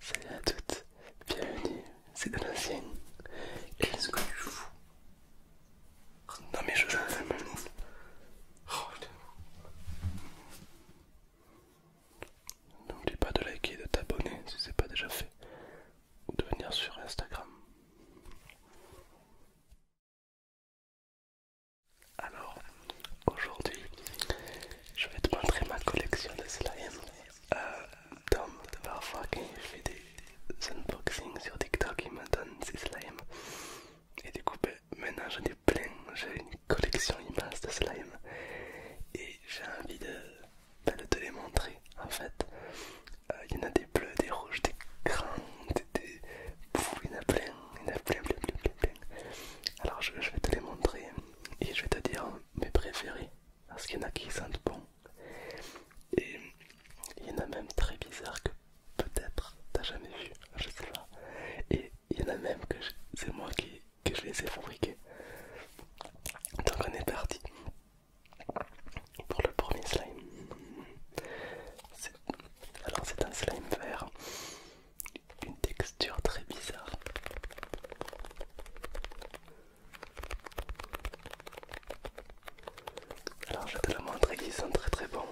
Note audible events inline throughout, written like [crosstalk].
Salut à toutes, bienvenue, c'est de Qu'est-ce que tu fous Non mais je l'ai même. Oh N'oublie pas de liker et de t'abonner si c'est pas déjà fait. Ou de venir sur Instagram. Alors, aujourd'hui, je vais te montrer ma collection de slime. Euh, Tom, parfois quand il fait des unboxings sur TikTok, il me donne ses slimes. Et du coup, ben, maintenant j'en ai plein. J'ai une collection immense de slimes. Et j'ai envie de, ben, te les montrer en fait. Euh, il y en a des bleus, des rouges, des grands, des. des... il y en a plein, il y en a plein, plein, plein, plein. Alors je vais te les montrer et je vais te dire mes préférés parce qu'il y en a qui sentent bon et il y en a même très bizarre que peut-être t'as jamais vu, je sais pas et il y en a même que c'est moi qui que je les ai fabriqués donc on est parti pour le premier slime alors c'est un slime vert une texture très bizarre. Alors je vais te le montrer, sont très très bons.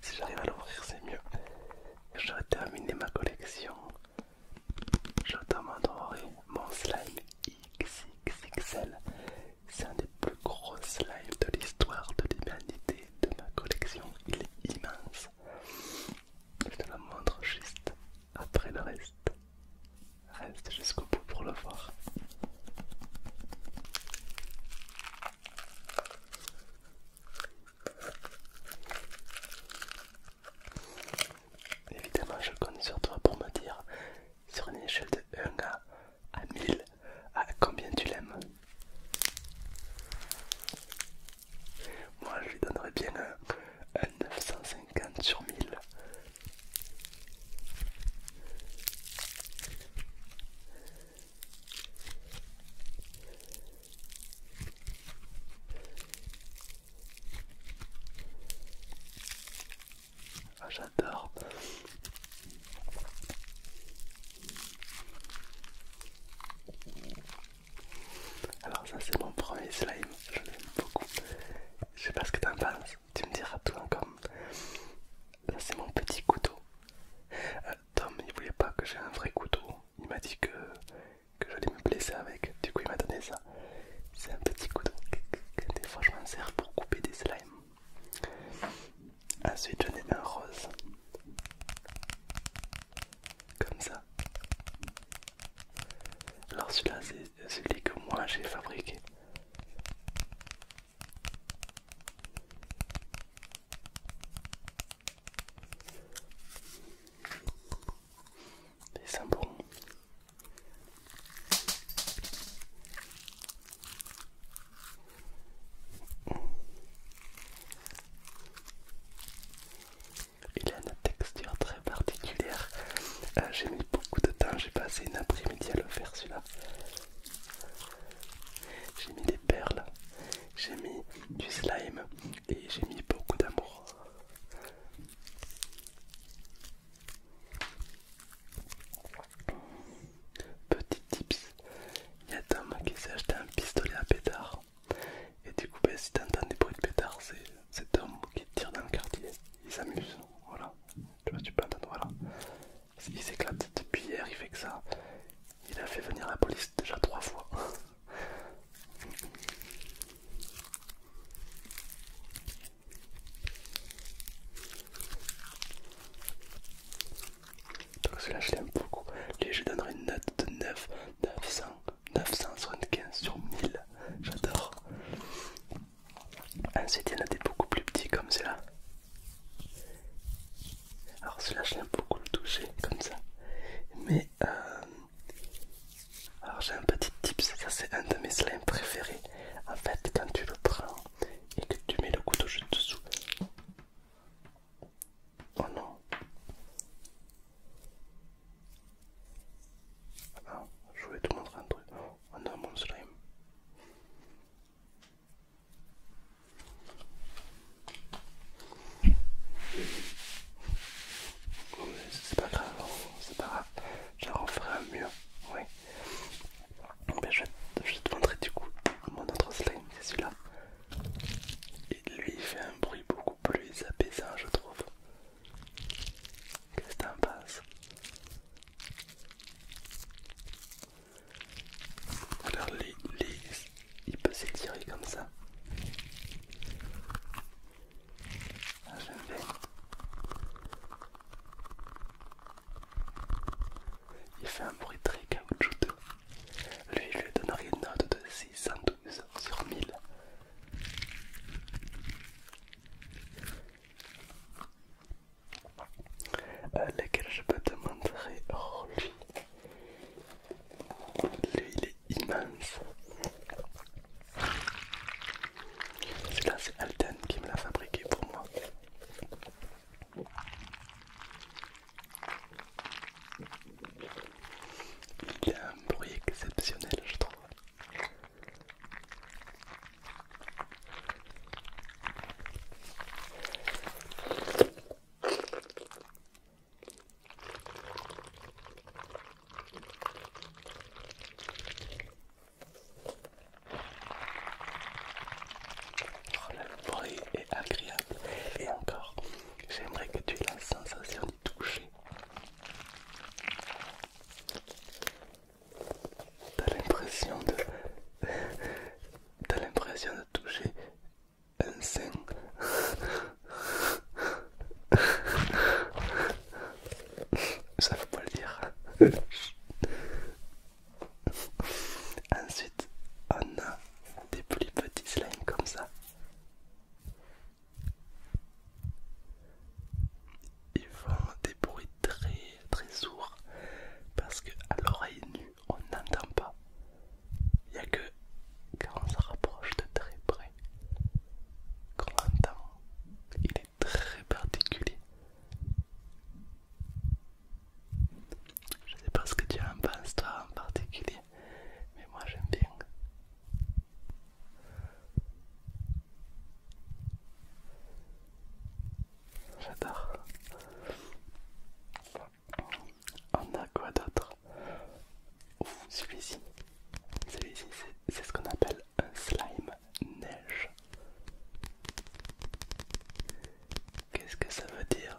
Si j'arrive à l'ouvrir, c'est mieux. Je vais terminer ma collection. Je demanderai mon slime XXXL. C'est un des plus gros slimes de l'histoire de l'humanité de ma collection. Il est immense. Je te la montre juste après le reste. Reste jusqu'au bout pour le voir. Évidemment, je compte sur toi pour me dire sur une échelle de 1 à, 1000 à combien tu l'aimes. Moi, je lui donnerais bien un, 950 sur 1000. Ah, j'adore. Alors ça c'est mon premier slime, je l'aime beaucoup. Je sais pas ce que t'en penses, tu me diras tout encore. Là c'est mon petit couteau. Euh, Tom il voulait pas que j'ai un vrai couteau, il m'a dit que, que j'allais me blesser avec, du coup il m'a donné ça. C'est un petit couteau, des fois je m'en sers pour couper des slimes. Ensuite j'en ai un rose comme ça. Alors celui-là c'est celui que moi j'ai fabriqué. C'est il a une texture très particulière. Euh, j'ai mis beaucoup de temps, j'ai passé une après-midi à le faire celui-là. J'ai mis des perles, j'ai mis du slime et j'ai mis beaucoup d'amour. Petit tips, il y a Tom qui s'est acheté un pistolet à pétard. Et du coup, ben, si t'entends des bruits de pétard, c'est cet homme qui tire dans le quartier. Il s'amuse, voilà. Tu vois, tu peux entendre, voilà. Il s'éclate depuis hier, il fait que ça. Il a fait venir la police déjà trois fois. Donc [laughs] celui-là je l'aime beaucoup. Lui je donnerai une note 9, 900, 975 sur 1000. J'adore. Ah, Ensuite, il y en a des beaucoup plus petits comme cela. Alors celui-là, j'aime beaucoup le toucher comme ça. Mais euh, alors j'ai un petit tip, c'est c'est un de mes slimes préférés. En fait, quand tu le prends et que tu mets le couteau juste dessous, Oh non. je voulais te montrer un truc. Oh non, mon slime. c'est pas grave, c'est pas grave. Je referai un mieux, oui. Ben, je vais te montrer du coup mon autre slime, c'est celui-là lui il fait un bruit beaucoup plus apaisant je trouve. Qu'est-ce que t'en penses Alors il peut s'étirer comme ça. Ah, J'aime bien. Il fait un bruit très caoutchouteux. Lui, je lui rien une note de doute sur mille, à euh, laquelle je peux te montrer Oh lui Lui il est immense Celui-là c'est Alten qui me l'a fabriqué pour moi il a un bruit exceptionnel, je trouve. Oh, le bruit est agréable et encore J'aimerais que tu aies la sensation de toucher. T'as l'impression de... T'as l'impression de toucher un sein. Ça faut pas le dire. Ensuite, on a des plus petits slimes comme ça. Ils font des bruits très très sourds parce que à l'oreille nue on n'entend pas. Il n'y a que quand on se rapproche de très près qu'on entend. Il est très particulier. Je sais pas ce que tu en penses toi en particulier mais moi j'aime bien. J'adore. On a quoi d'autre celui-ci. Celui-ci, c'est ce qu'on appelle un slime neige. Qu'est-ce que ça veut dire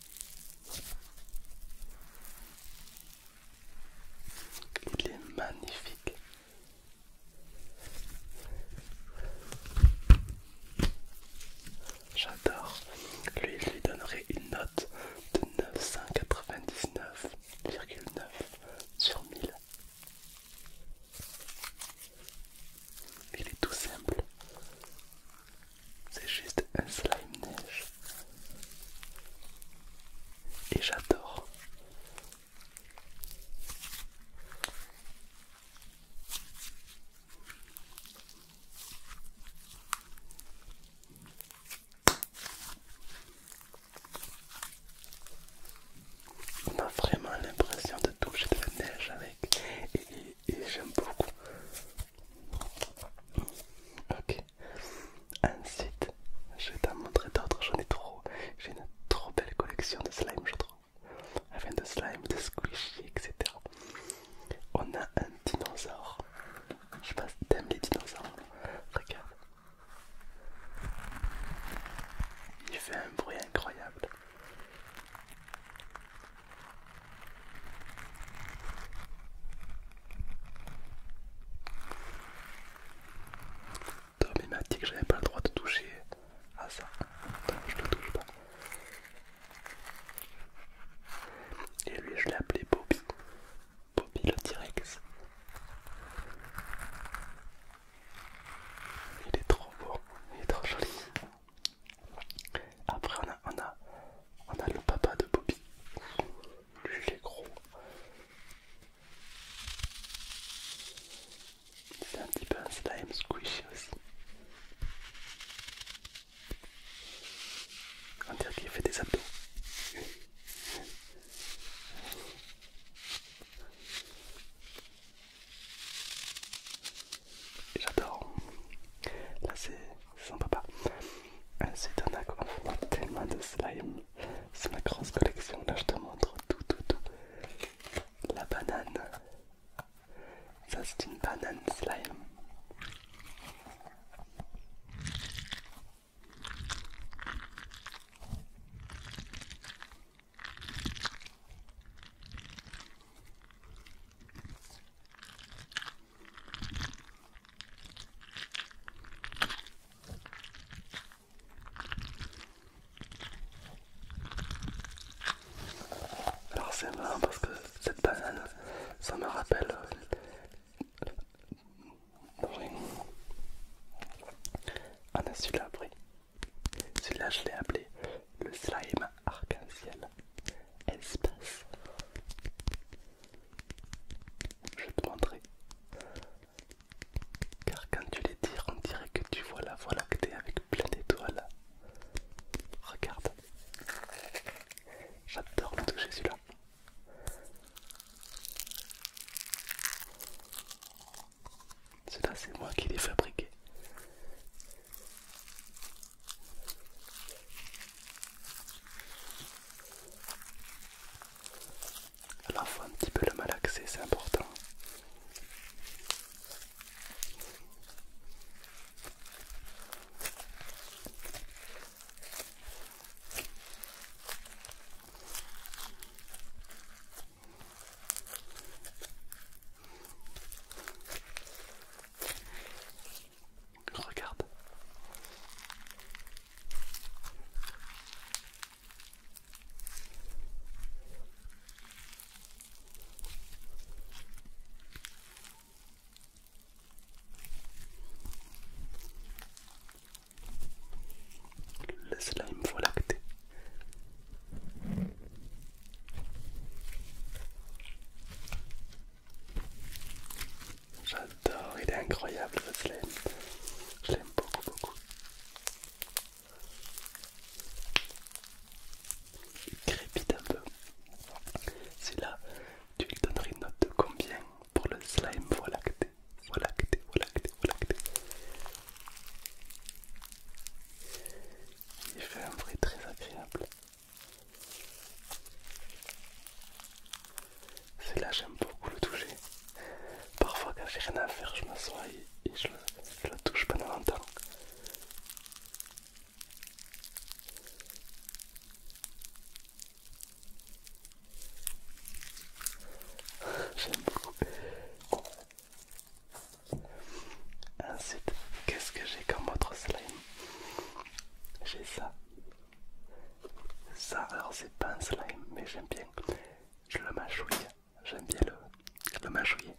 Il est magnifique. J'adore. Lui, je lui donnerai une note de 999,9 sur 1000. Il est tout simple, c'est juste un slime neige. Et j'adore. On a vraiment l'impression de toucher de la neige avec et, et j'aime beaucoup Ok. Ensuite, je vais t'en montrer d'autres. J'en ai trop. J'ai une trop belle collection de slime, je trouve. Enfin, de slime, de squishy, etc. On a un dinosaure. Je sais pas si t'aimes les dinosaures. Regarde. Il fait un bruit incroyable. Tommy m'a dit que j'avais pas le droit de toucher à ça, donc je le touche pas. Et lui, je l'ai appelé Bobby, Bobby le T-Rex. Il est trop beau, il est trop joli. Après, on a, on a on a le papa de Bobby. Lui, il est gros. Il C'est un petit peu un slime squishy aussi. On dirait qu'il fait des abdos. J'adore. Là, c'est son papa. Ah, c'est un a tellement de slime. C'est ma grosse collection. Là, je te montre tout, tout, tout. La banane. Ça, c'est une banane slime. Alors c'est marrant parce que cette banane, ça me rappelle un euh, a ah, celui-là, celui-là je l'ai appelé le slime arc-en-ciel. Espace, Je te montrer. Car quand tu les tires, on dirait que tu vois la voie lactée avec plein d'étoiles. Regarde. J'adore le toucher là Celui-là, c'est moi qui l'ai fabriqué la faut un petit peu le malaxer, c'est important. Regarde. Le slime faut lacter. J'adore, il est incroyable le slime. Je l'aime beaucoup beaucoup. Il crépite un peu. Celui-là, tu lui donnerais une note de combien pour le slime que t'es, Voilà que voilà que Il fait un vrai très agréable. C'est là j'aime beaucoup le toucher. Parfois quand j'ai rien à faire, je m'assois et, et je, le touche pendant longtemps. [laughs] J'aime beaucoup. Ensuite, qu'est-ce que j'ai comme autre slime j'ai ça. Ça, alors c'est pas un slime, mais j'aime bien. Je le mâchouille. J'aime bien le, le mâchouiller.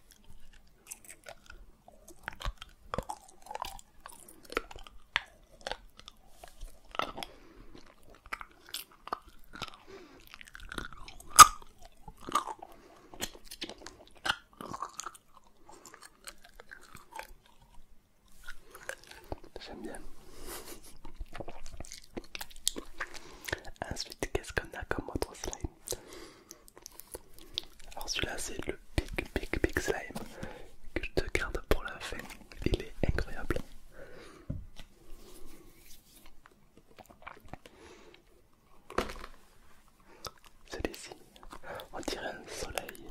J'aime bien. Ensuite, qu'est-ce qu'on a comme autre slime Alors celui-là, c'est le big, big, big slime que je te garde pour la fin. Il est incroyable. Celui-ci. On dirait un soleil.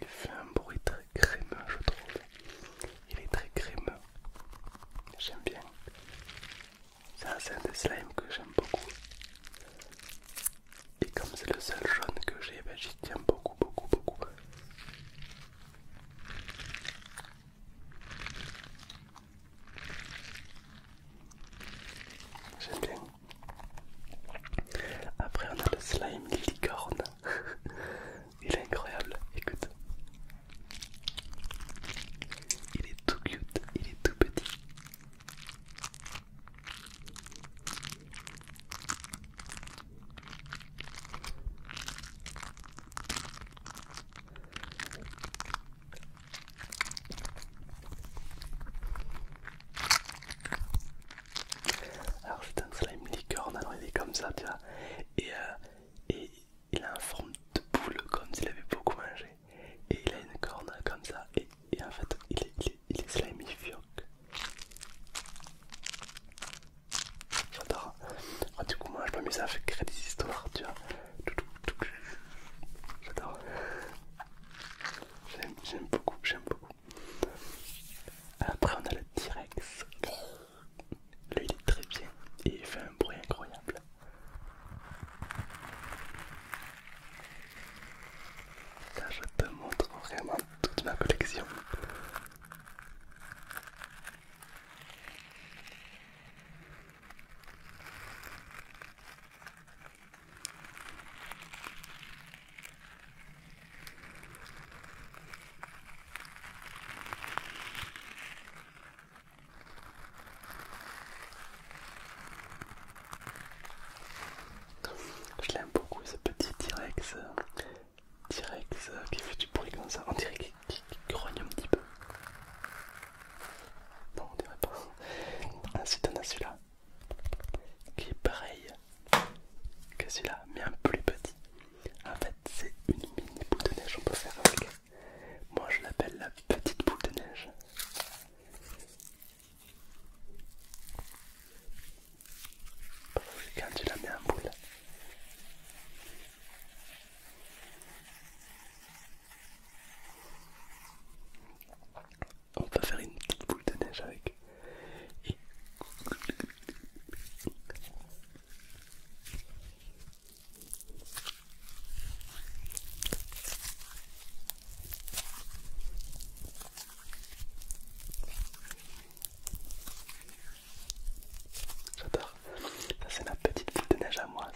Il fait un bruit très crémeux, je trouve. Il est très crémeux. J'aime bien. Ça, c'est un des slimes que j'aime beaucoup. Et comme c'est le seul jaune que j'ai, ben j'y tiens beaucoup, beaucoup, beaucoup. J'aime bien. Après, on a le slime licorne. [laughs] il est incroyable, écoute. Il est tout cute, il est tout petit. Alors c'est un slime licorne, alors il est comme ça, tu vois. Et, euh, et il a une forme de boule comme s'il avait beaucoup mangé et il a une corne comme ça et, en fait il est, il est, il J'adore. Ah, du coup moi je m'amuse à créer des histoires tu vois. J'adore. J'aime beaucoup, j'aime beaucoup. Après on a le T-Rex. Lui, il est très bien et il fait un bruit incroyable. Là je te montre vraiment toute ma collection. Je l'aime beaucoup ce petit T-Rex qui fait du bruit comme ça, on dirait qu'il grogne un petit peu. Non on dirait pas. Ensuite on a celui-là qui est pareil que celui-là mais un plus petit. En fait, c'est une mini boule de neige, on peut faire avec. Moi, je l'appelle la petite boule de neige. quand tu la mets en boule, on peut faire une petite boule de neige avec. J'adore. Ça c'est ma petite fille de neige à moi.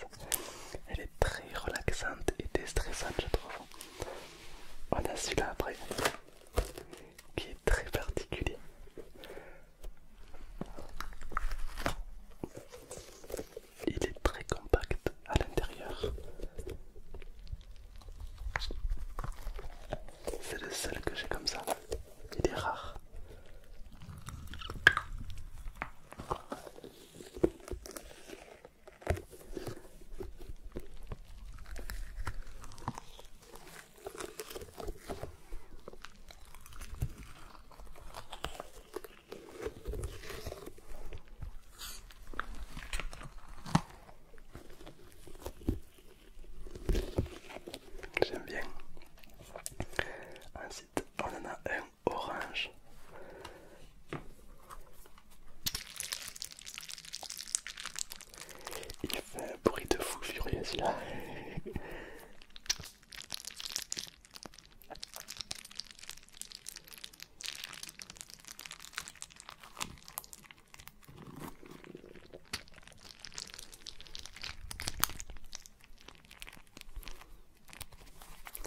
Elle est très relaxante et déstressante je trouve. On a celui-là après qui est très particulier. Il est très compact à l'intérieur. C'est le seul que j'ai comme ça. Il est rare. J'aime bien. Ensuite, on en a un orange. Il fait un bruit de fou furieux là [laughs]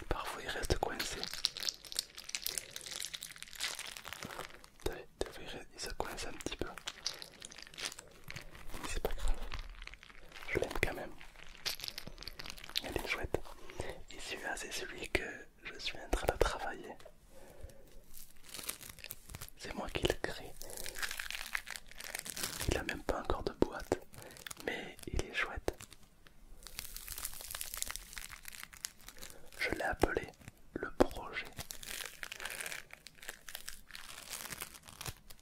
Parfois il reste coincé. Tu il se coince un petit peu. C'est pas grave. Je l'aime quand même. Elle est chouette. Et celui-là, c'est celui que je suis en train de travailler. C'est moi qui le crée. Il a même pas encore de boîte, mais il est chouette. Je l'ai appelé le projet.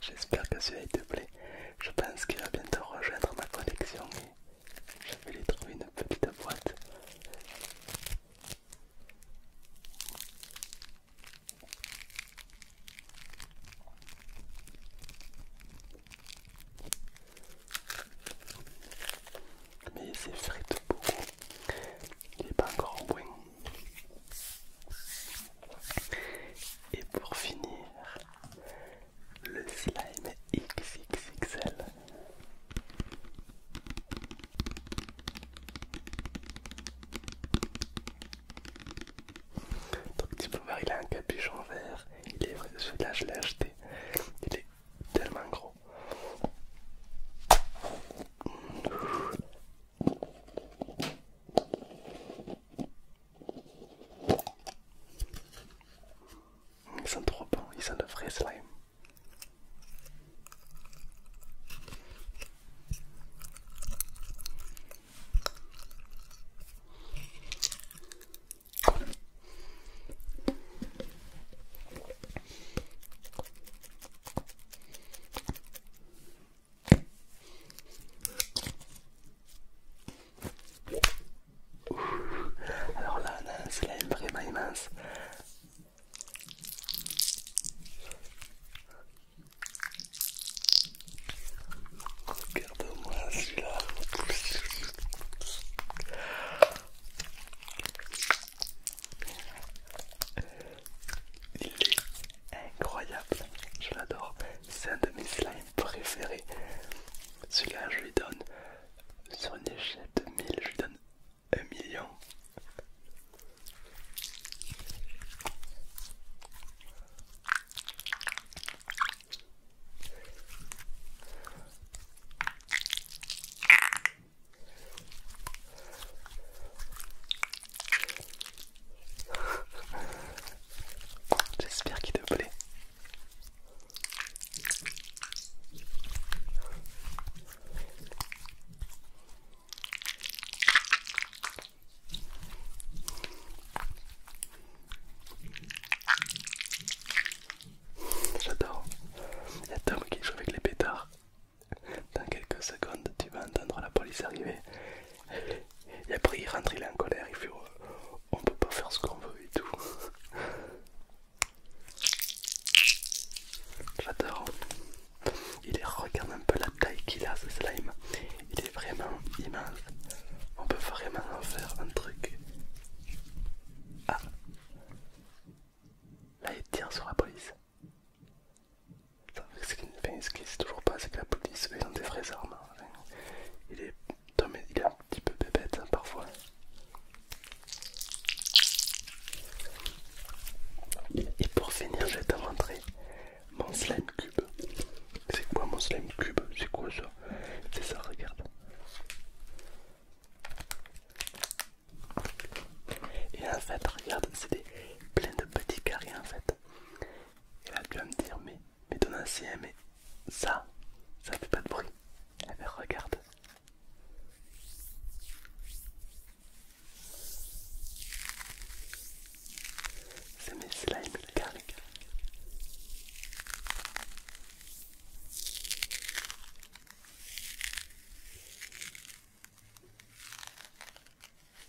J'espère que celui-là te plaît. Je pense qu'il va bientôt rejoindre ma collection et je vais lui trouver une petite boîte. Mais c'est tout beaucoup, il n'est pas encore point Et pour finir, le slime XXXL. Donc tu peux voir il a un capuchon vert, il est vrai celui-là je l'ai acheté, il est tellement gros. Ils sont trop pas ils sont de slime. Alors là, a un slime vraiment immense. Regarde-moi celui-là. Il est incroyable, je l'adore. C'est un de mes préféré. Celui-là, je lui donne sur une échelle je lui donne 1 million. J'espère qu'il te plaît. J'adore. Il y a Tom qui joue avec les pétards. Dans quelques secondes, tu vas entendre la police arriver. Et après il rentre, il est en colère, il fait euh, on peut pas faire ce qu'on veut et tout. [laughs] J'adore. Il regarde un peu la taille qu'il a ce slime. Il est vraiment immense. On peut vraiment en faire un truc. Ah Là il tire sur la police. C'est toujours pas, c'est que la police, met dans des vraies armes. Il est, il est un petit peu bébête hein, parfois. Et pour finir, je vais te montrer mon slime cube. C'est quoi mon slime cube C'est quoi ça C'est ça, regarde. Et en fait, regarde, c'est plein de petits carrés en fait. Et là tu vas me dire mais, mais ton mais ça, ça fait pas de bruit. Eh bien regarde. C'est mes slimes mécaniques.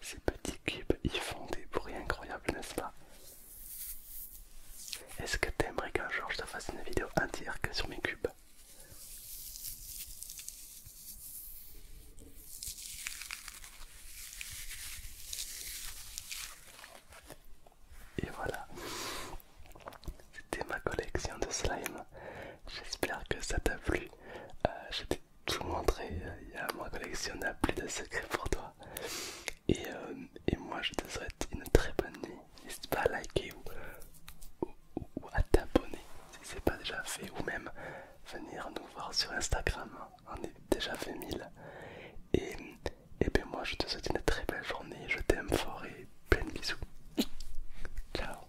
Ces petits cubes, ils font des bruits incroyables, n'est-ce pas Est-ce que t'aimerais qu'un jour je te fasse une vidéo entière que sur mes cubes et voilà, c'était ma collection de slime. J'espère que ça t'a plu. Euh, je t'ai tout montré. Il y a ma collection n'a plus de secrets pour toi. Euh, et, moi, je te souhaite une très bonne nuit. N'hésite pas à liker ou, à t'abonner si c'est pas déjà fait, ou même venir nous voir sur Instagram. On est déjà fait mille. Et, et bien, moi, je te souhaite une très belle journée. Je t'aime fort et plein de bisous. Ciao.